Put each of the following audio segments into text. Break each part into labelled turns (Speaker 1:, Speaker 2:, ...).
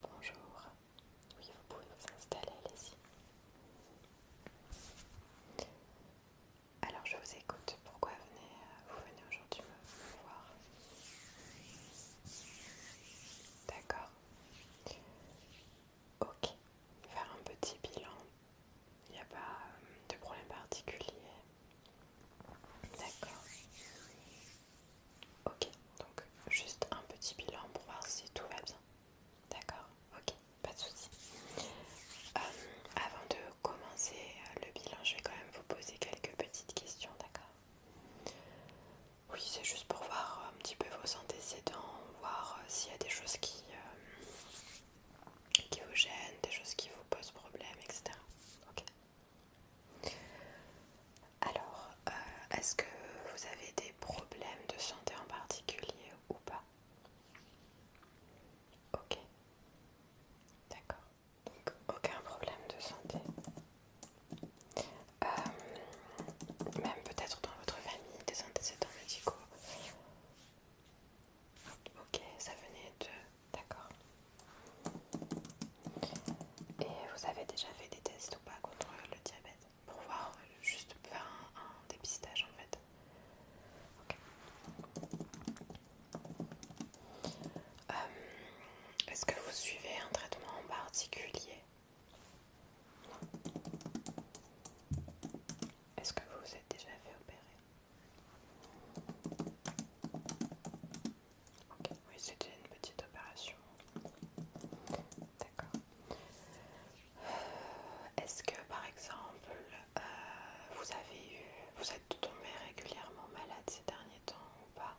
Speaker 1: Bonjour, oui vous pouvez vous installer, allez-y. Alors je vous écoute, pourquoi venez, euh, vous venez aujourd'hui me voir D'accord. Ok, faire un petit bilan, il n'y a pas euh, de problème particulier. D'accord. Ok, donc juste un petit bilan pour voir si tout va bien. D'accord Ok, pas de souci. Euh, avant de commencer le bilan, je vais quand même vous poser quelques petites questions, d'accord Oui, c'est juste pour voir un petit peu vos antécédents, voir euh, s'il y a des choses qui, euh, qui vous gênent, des choses qui vous posent problème, etc. Ok alors, euh, est-ce que vous avez des problèmes de santé en particulier ou pas Ok. D'accord. Donc, aucun problème de santé. Euh, même peut-être dans votre famille, des antécédents médicaux. Ok, ça venait de... D'accord. Et vous avez déjà fait des tests ou pas contre le diabète Pour voir, juste faire un, dépistage en fait. Euh, est-ce que vous suivez un traitement en particulier Est-ce que vous vous êtes déjà fait opérer oui, c'était une petite opération. D'accord. Euh, est-ce que par exemple, euh, vous avez eu, vous êtes tombé régulièrement malade ces derniers temps ou pas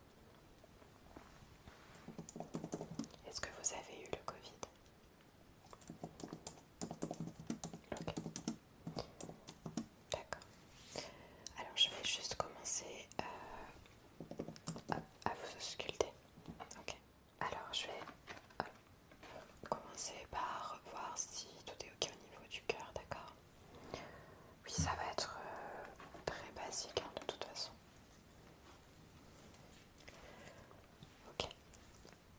Speaker 1: Est-ce que vous avez eu le Covid Ok. D'accord. Alors je vais juste commencer euh, à vous ah, ausculter. Ah, ok. Alors je vais commencer par voir si tout est ok au niveau du cœur, d'accord Oui, ça va être euh, très basique hein, de toute façon. Ok.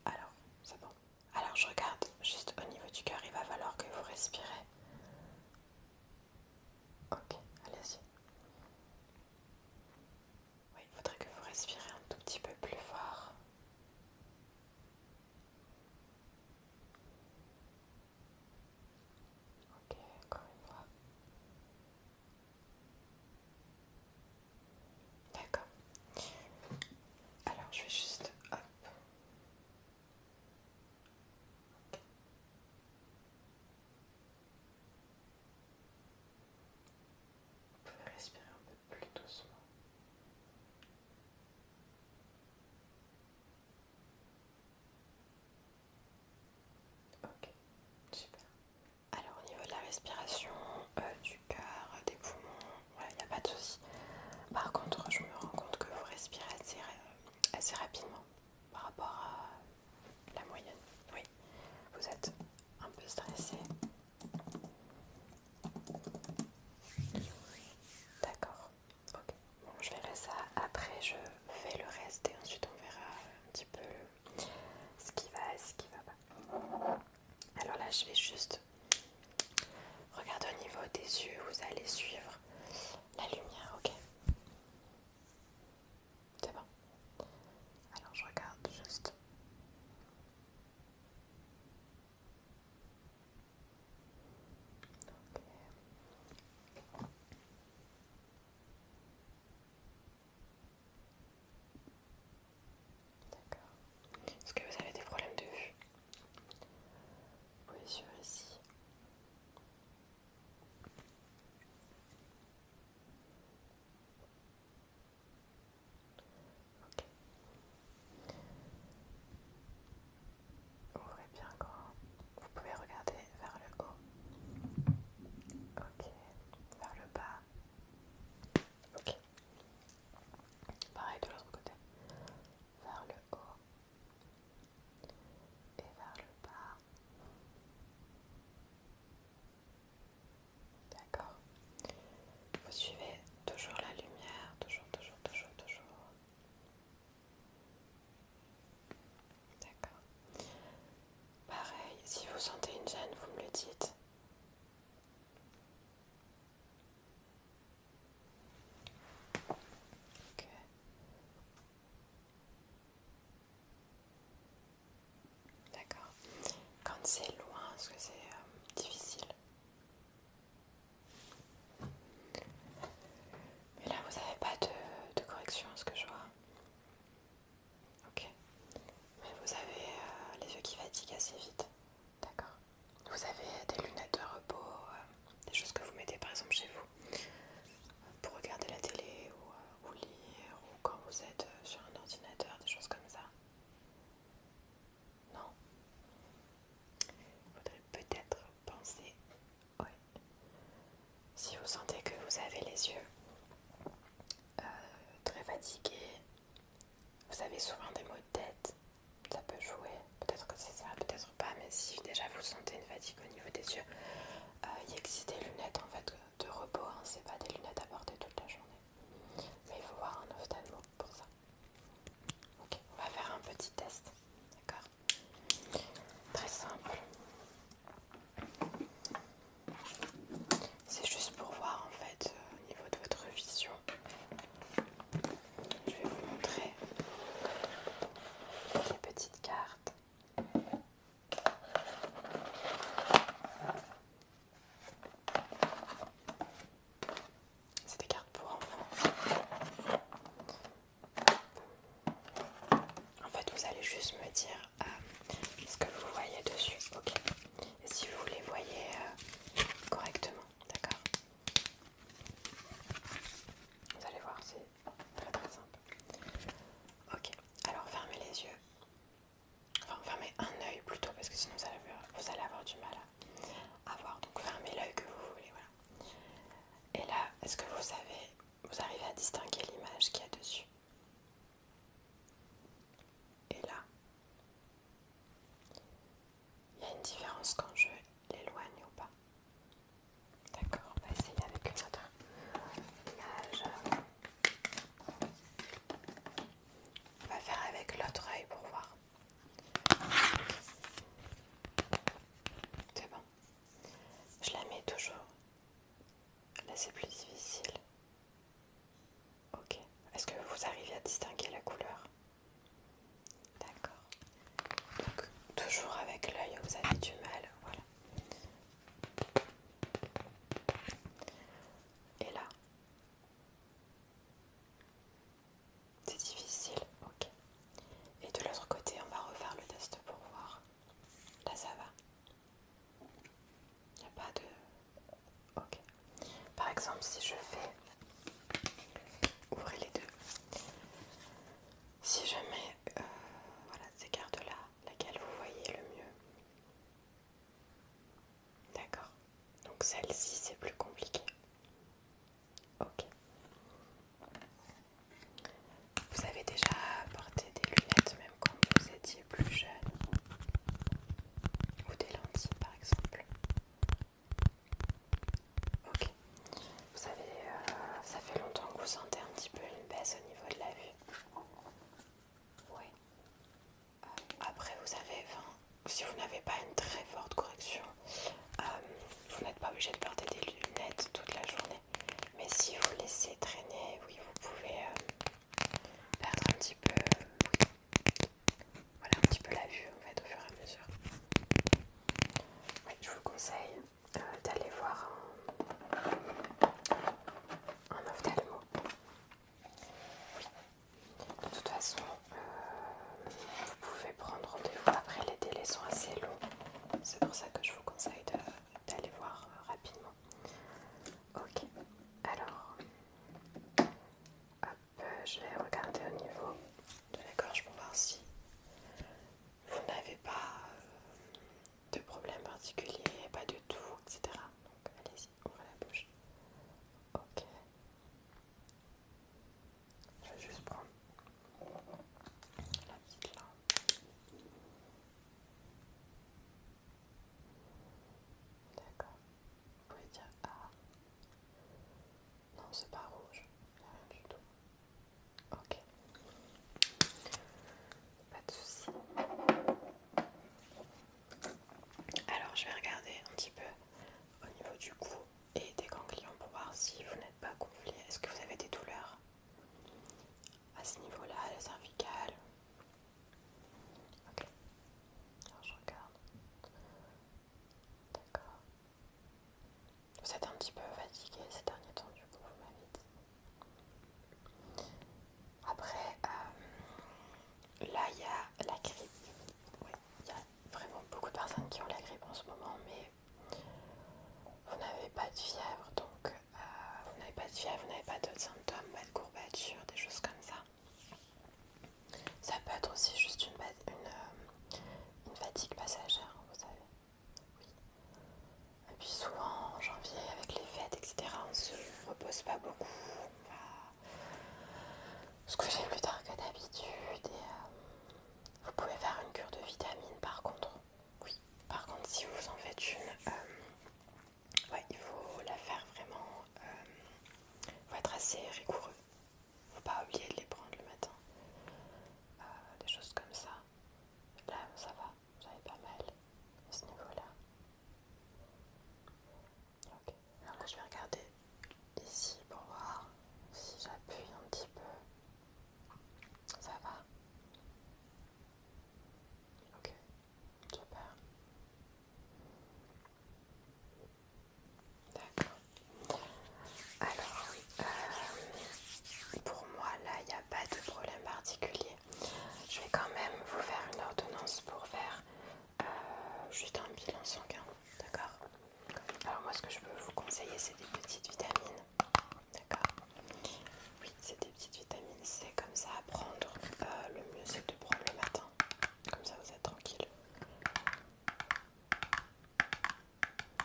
Speaker 1: Alors, c'est bon. Alors je regarde juste au niveau du cœur, il va falloir que vous respirez Ok, allez-y. il faudrait que vous respirez un tout petit peu plus fort. Ok, encore une fois. D'accord. Alors, je vais juste hop, vous pouvez respirer un peu plus doucement. Ok, super. Alors au niveau de la respiration, euh, du cœur, des poumons, il n'y a pas de souci. Par contre, je me rends compte que vous respirez assez euh, rapidement par rapport à la moyenne. Oui, vous êtes un peu stressé. D'accord. Ok. Bon, je verrai ça après. Je fais le reste et ensuite on verra un petit peu ce qui va et ce qui va pas. Alors là, je vais juste regarder au niveau des yeux. Vous allez suivre la lumière, ok c'est Alors je regarde juste. D'accord. Est-ce que vous avez des problèmes de vue Oui, sur ici. Ok. Ouvrez bien quand Vous pouvez regarder vers le haut. Ok. Vers le bas. Ok. Pareil de l'autre côté. Vers le haut et vers le bas. D'accord. Vous suivez toujours la lumière, toujours, toujours, toujours, toujours. D'accord. Pareil, si vous sentez une gêne, vous me le dites. D'accord. Quand c'est loin, est-ce que c'est euh, difficile Mais là, vous n'avez pas de, de correction, ce que je vois. Ok. Mais vous avez euh, les yeux qui fatiguent assez vite. D'accord. Vous avez des lunettes de repos. Euh, des choses que vous mettez par exemple chez vous pour regarder la télé ou, euh, lire ou quand vous êtes euh, sur un ordinateur, des choses comme ça. Non Il faudrait peut-être penser, oui. Si vous sentez que vous avez les yeux euh, très fatigués, vous avez souvent des maux de tête, ça peut jouer, peut-être que c'est ça, peut-être pas, mais si déjà vous sentez une fatigue au niveau des yeux, il euh, existe des lunettes en fait de repos, hein, c'est pas des lunettes à porter toute la journée. Mais il faut voir un ophtalmo pour ça. Ok, on va faire un petit test, d'accord Très simple. C'est juste pour voir en fait euh, au niveau de votre vision je vais vous montrer les petites cartes. C'est des cartes pour enfants. En fait, vous allez juste me dire euh, ce que vous voyez dessus, ok Et si vous les voyez euh, correctement, d'accord Vous allez voir, c'est Très très simple. Ok, alors fermez les yeux. Enfin, fermez un oeil plutôt parce que sinon vous allez avoir, vous allez avoir du mal à, voir. Donc fermez l'œil que vous voulez, voilà. Et là, est-ce que vous savez, vous arrivez à distinguer l'image qu'il y a dessus Et là, il y a une différence quand je l'éloigne ou pas. D'accord, on va essayer avec une autre image. On va faire avec l'autre œil pour voir. C'est bon. Je la mets toujours. Là c'est plus difficile. Ok. Est-ce que vous arrivez à distinguer la couleur D'accord. Donc toujours avec l'œil vous avez du mal, voilà. Et là. C'est difficile, ok. Et de l'autre côté, on va refaire le test pour voir. Là, ça va. Il n'y a pas de... Ok. Par exemple, si je fais... ouvrir les deux. Si je mets euh, voilà, ces cartes-là, laquelle vous voyez le mieux D'accord. Donc celle-ci, c'est plus compliqué. Ok. Vous avez déjà porté des lunettes même quand vous étiez plus jeune Ou des lentilles par exemple Ok. Vous savez, euh, ça fait longtemps que vous sentez un petit peu une baisse au niveau de la vue. Oui. Euh, après, vous 20, si vous n'avez pas une très forte correction, euh, vous n'êtes pas obligé de porter des lunettes toute la journée. Mais si vous laissez traîner, oui, vous pouvez perdre un petit peu, un petit peu la vue en fait au fur et à mesure je vous conseille euh, d'aller voir un, ophtalmo. De toute façon, euh, vous pouvez prendre rendez-vous après, les délais sont assez longs. C'est pour ça que je vous conseille d'aller voir euh, rapidement. Ok, alors, euh, je vais regarder au niveau de la gorge pour voir si vous n'avez pas euh, de problème particulier, pas du tout, etc. Donc allez-y, ouvrez la bouche. Ok. Je vais juste prendre la petite là. D'accord. Vous pouvez dire A. Ah. Non, c'est pas rouge, rien du tout. Ok. Pas de soucis. Alors, je vais regarder un petit peu au niveau du cou et des ganglions pour voir si vous n'êtes pas gonflé. Est-ce que vous avez des douleurs à ce niveau-là, à la cervicale Ok. Alors, je regarde. D'accord. Vous êtes un petit peu fatigué ces derniers temps, du coup, vous m'avez dit. Après, euh, là, il y a la grippe. Il y a vraiment beaucoup de personnes qui ont la grippe en ce moment, mais vous n'avez pas de fièvre, donc euh, vous n'avez pas de fièvre, vous n'avez pas d'autres symptômes, pas bah, de courbature, des choses comme ça. Ça peut être aussi juste euh, une, fatigue passagère, vous savez. Oui. Et puis souvent en janvier, avec les fêtes, etc., on se repose pas beaucoup. On va se coucher plus tard que d'habitude. Et euh, vous pouvez faire une cure de vitamines par contre. Oui. Par contre, si vous en faites une, euh, il faut la faire vraiment. Il faut être assez rigoureux. Faut bah pas oublier de les prendre le matin. Euh, des choses comme ça. Là, ça va, j'avais pas mal à ce niveau-là. Ok, alors je vais regarder ici pour voir si j'appuie un petit peu. Ça va Ok, super. D'accord. Alors, euh, pour moi, là, il n'y a pas de problème particulier. Je vais quand même vous faire une ordonnance pour faire euh, juste un bilan sanguin. D'accord Alors, moi, ce que je peux vous conseiller, c'est des petites vitamines. D'accord Oui, c'est des petites vitamines. C'est comme ça à prendre. Euh, le mieux, c'est de prendre le matin. Comme ça, vous êtes tranquille.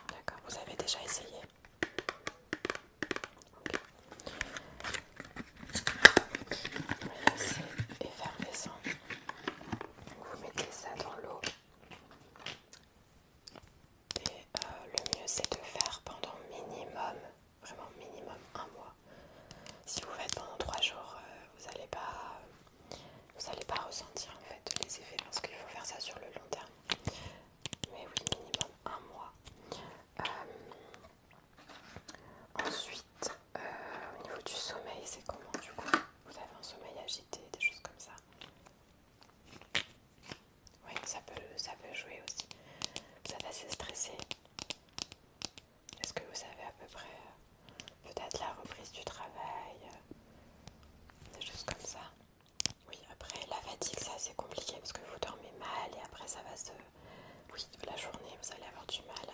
Speaker 1: D'accord, vous avez déjà essayé Et C'est effervescent. Vous mettez ça dans l'eau. Et euh, le mieux c'est de faire pendant minimum, vraiment minimum un mois. Si vous faites pendant trois jours, euh, vous n'allez pas euh, vous n'allez pas ressentir en fait les effets parce qu'il faut faire ça sur le long terme. Mais oui, minimum un mois. Euh, ensuite, euh, au niveau du sommeil, c'est comment du coup Vous avez un sommeil agité, des choses comme ça Oui, ça peut, ça peut jouer aussi. Vous êtes assez stressé. Est-ce que vous savez à peu près euh, peut-être la reprise du travail, euh, des choses comme ça. Oui, après la fatigue ça c'est compliqué parce que vous dormez mal et après ça va se... Oui, la journée vous allez avoir du mal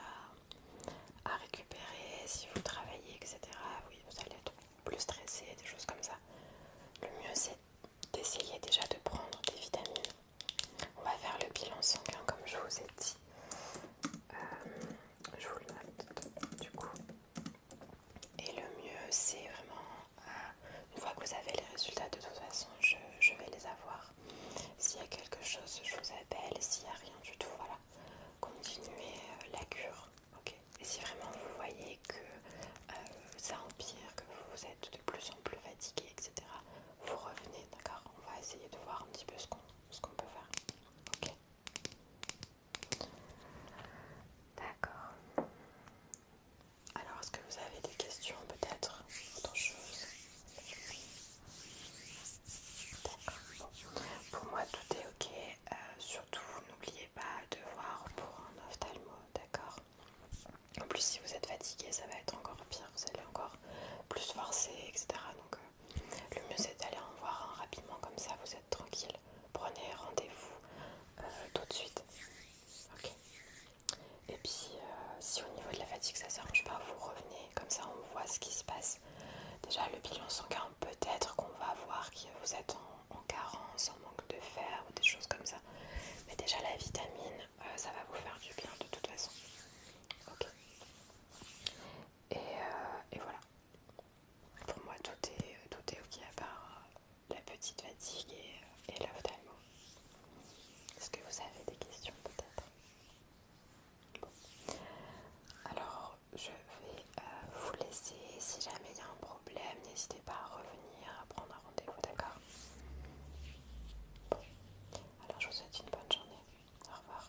Speaker 1: à, à récupérer si vous travaillez, etc. Oui, vous allez être plus stressé, des choses comme ça. Le mieux c'est d'essayer déjà de prendre des vitamines. On va faire le bilan sanguin comme je vous ai dit. Euh, je vous le note du coup. Et le mieux, c'est vraiment euh, une fois que vous avez les résultats, de toute façon, je, vais les avoir. S'il y a quelque chose, je vous appelle. S'il n'y a rien du tout, voilà, continuez euh, la cure. ok Et si vraiment vous voyez que ça empire, que vous êtes de plus en plus fatigué, etc., vous revenez, d'accord On va essayer de voir un petit peu ce qu'on peut faire. Ok D'accord. Alors, est-ce que vous avez des questions peut-être D'accord. Pour moi, tout est ok. Euh, surtout, n'oubliez pas de voir pour un ophtalmo, d'accord en plus, si vous êtes fatigué, ça va être encore pire, vous allez encore plus forcer, etc. Donc, euh, le mieux c'est d'aller en voir un rapidement comme ça, vous êtes tranquille. Prenez rendez-vous euh, tout de suite. Et puis euh, si au niveau de la fatigue ça ne s'arrange pas, vous revenez, comme ça on voit ce qui se passe. Déjà le bilan sanguin, peut-être qu'on va voir que vous êtes en, carence, en manque de fer ou des choses comme ça. Mais déjà la vitamine, euh, ça va vous faire du bien de toute façon. Ok. Euh, et, voilà. Pour moi, tout est, ok à part euh, la petite fatigue et, euh, et d'Almo. Est-ce que vous avez des questions peut-être Alors, je vais vous laisser. Si jamais il y a un problème, n'hésitez pas à revenir, à prendre un rendez-vous, d'accord Alors, je vous souhaite une bonne journée. Au revoir.